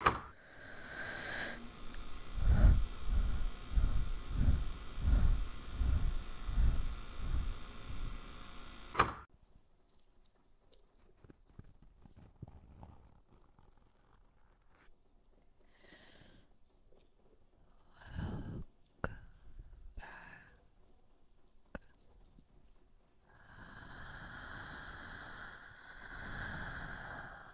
Welcome back.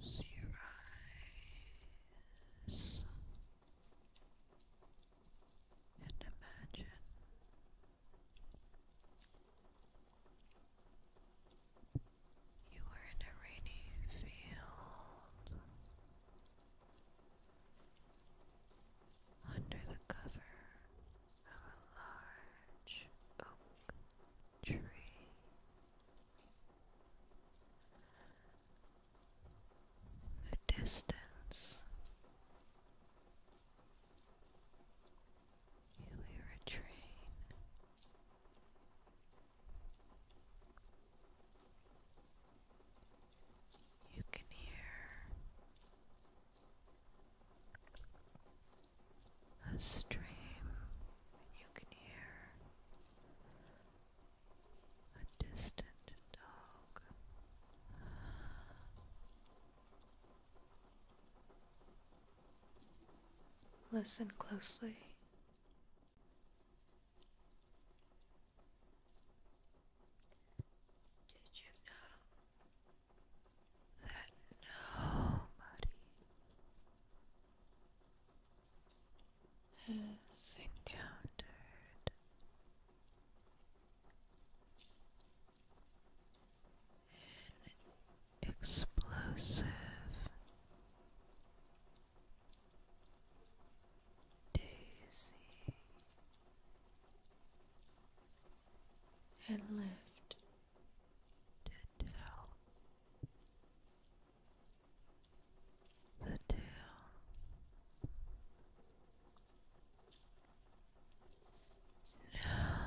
Close your eyes and imagine you are in a rainy field under the cover of a large oak the distance you hear a train. You can hear a stream, you can hear a distant dog. Listen closely. Did you know that nobody has encountered an explosive daisy and lived to tell the tail. No,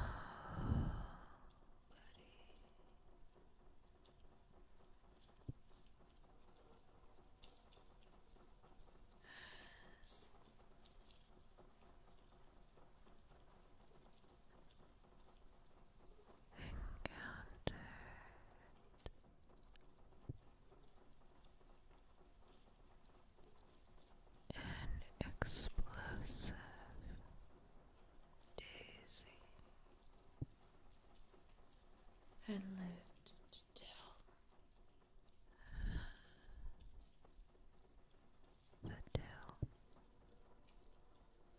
encountered an explosive daisy and lived to tell the tale.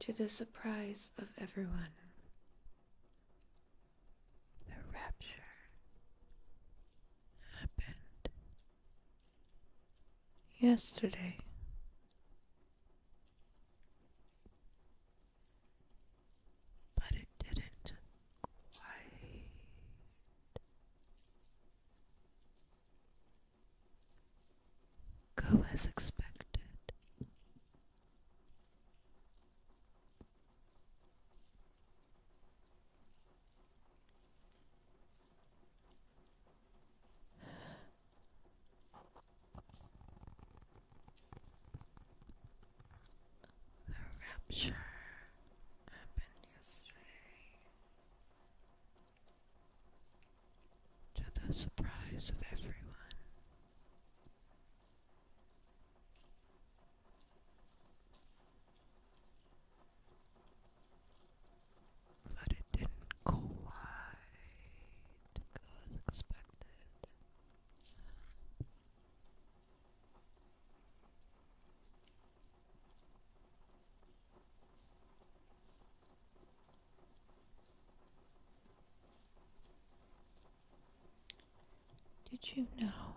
To the surprise of everyone, the rapture happened yesterday. But it didn't quite Go as expected. The rapture happened yesterday to the surprise of everyone. But it didn't quite go as expected. Did you know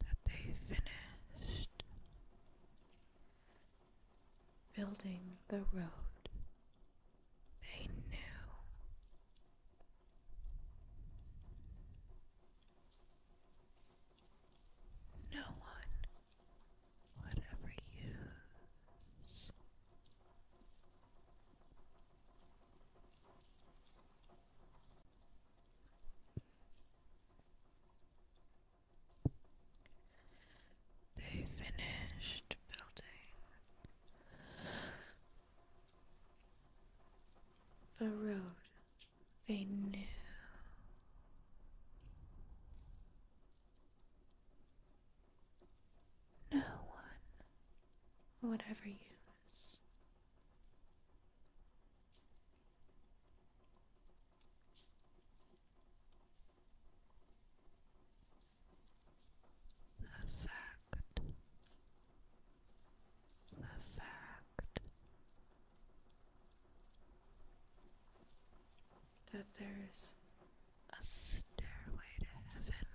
that they finished building the road they knew? no one would ever They finished building the road they knew. No one would ever use a fact, a fact, that there's a stairway to heaven.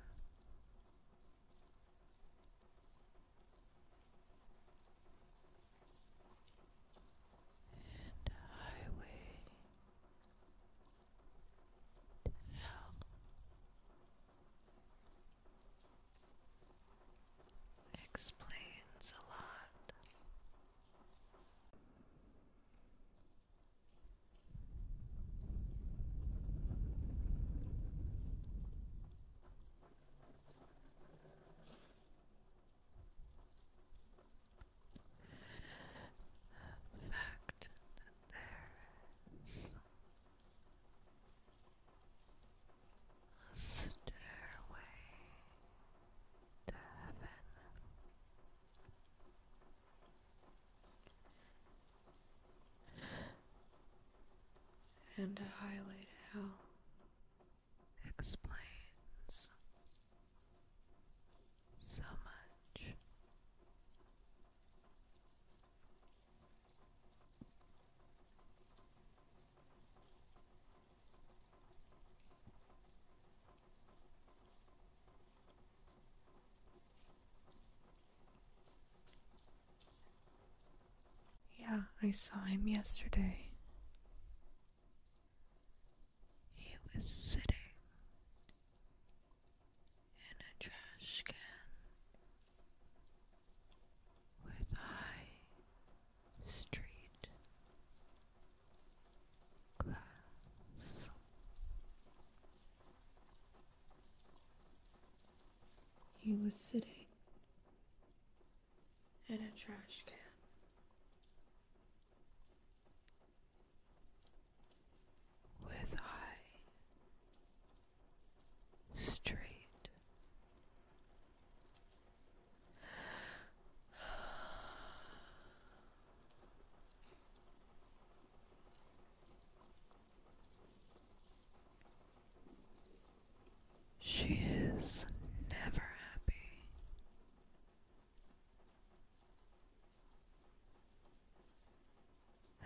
And a highway to hell explains a lot. The fact that there is a stairway to heaven. And a highlight hell explains so much. Yeah, I saw him yesterday. He was sitting in a trash can with high street glass. He was sitting in a trash can. With high, street. She is never happy.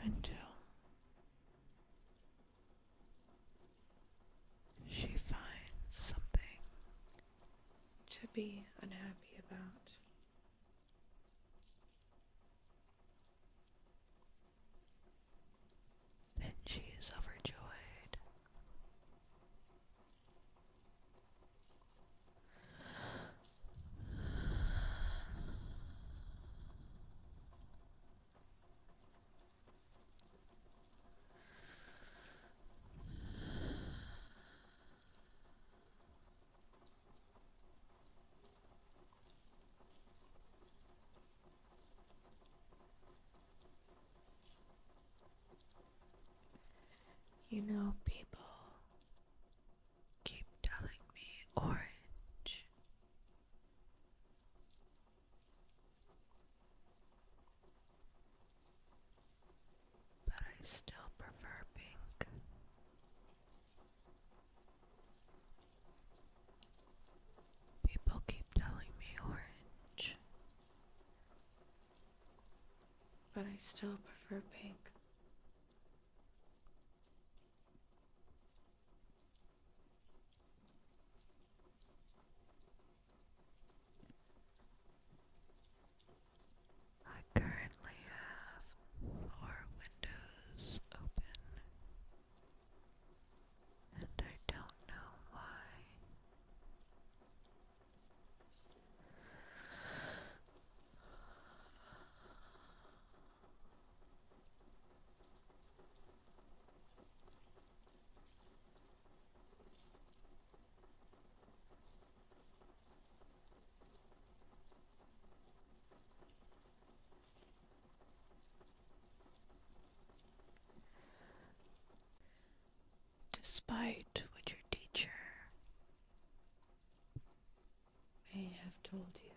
Until she finds something to be unhappy about. Then she is overjoyed. You know, people keep telling me orange but I still prefer pink. People keep telling me orange. But I still prefer pink. I currently have four windows open, and I don't know why. Despite what your teacher may have told you,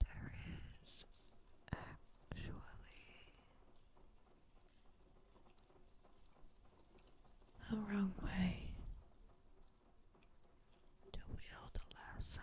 there is actually a wrong way to wield a lasso.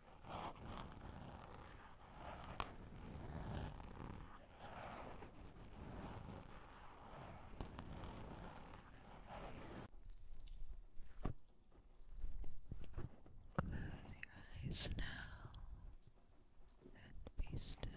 Close your eyes now and be still.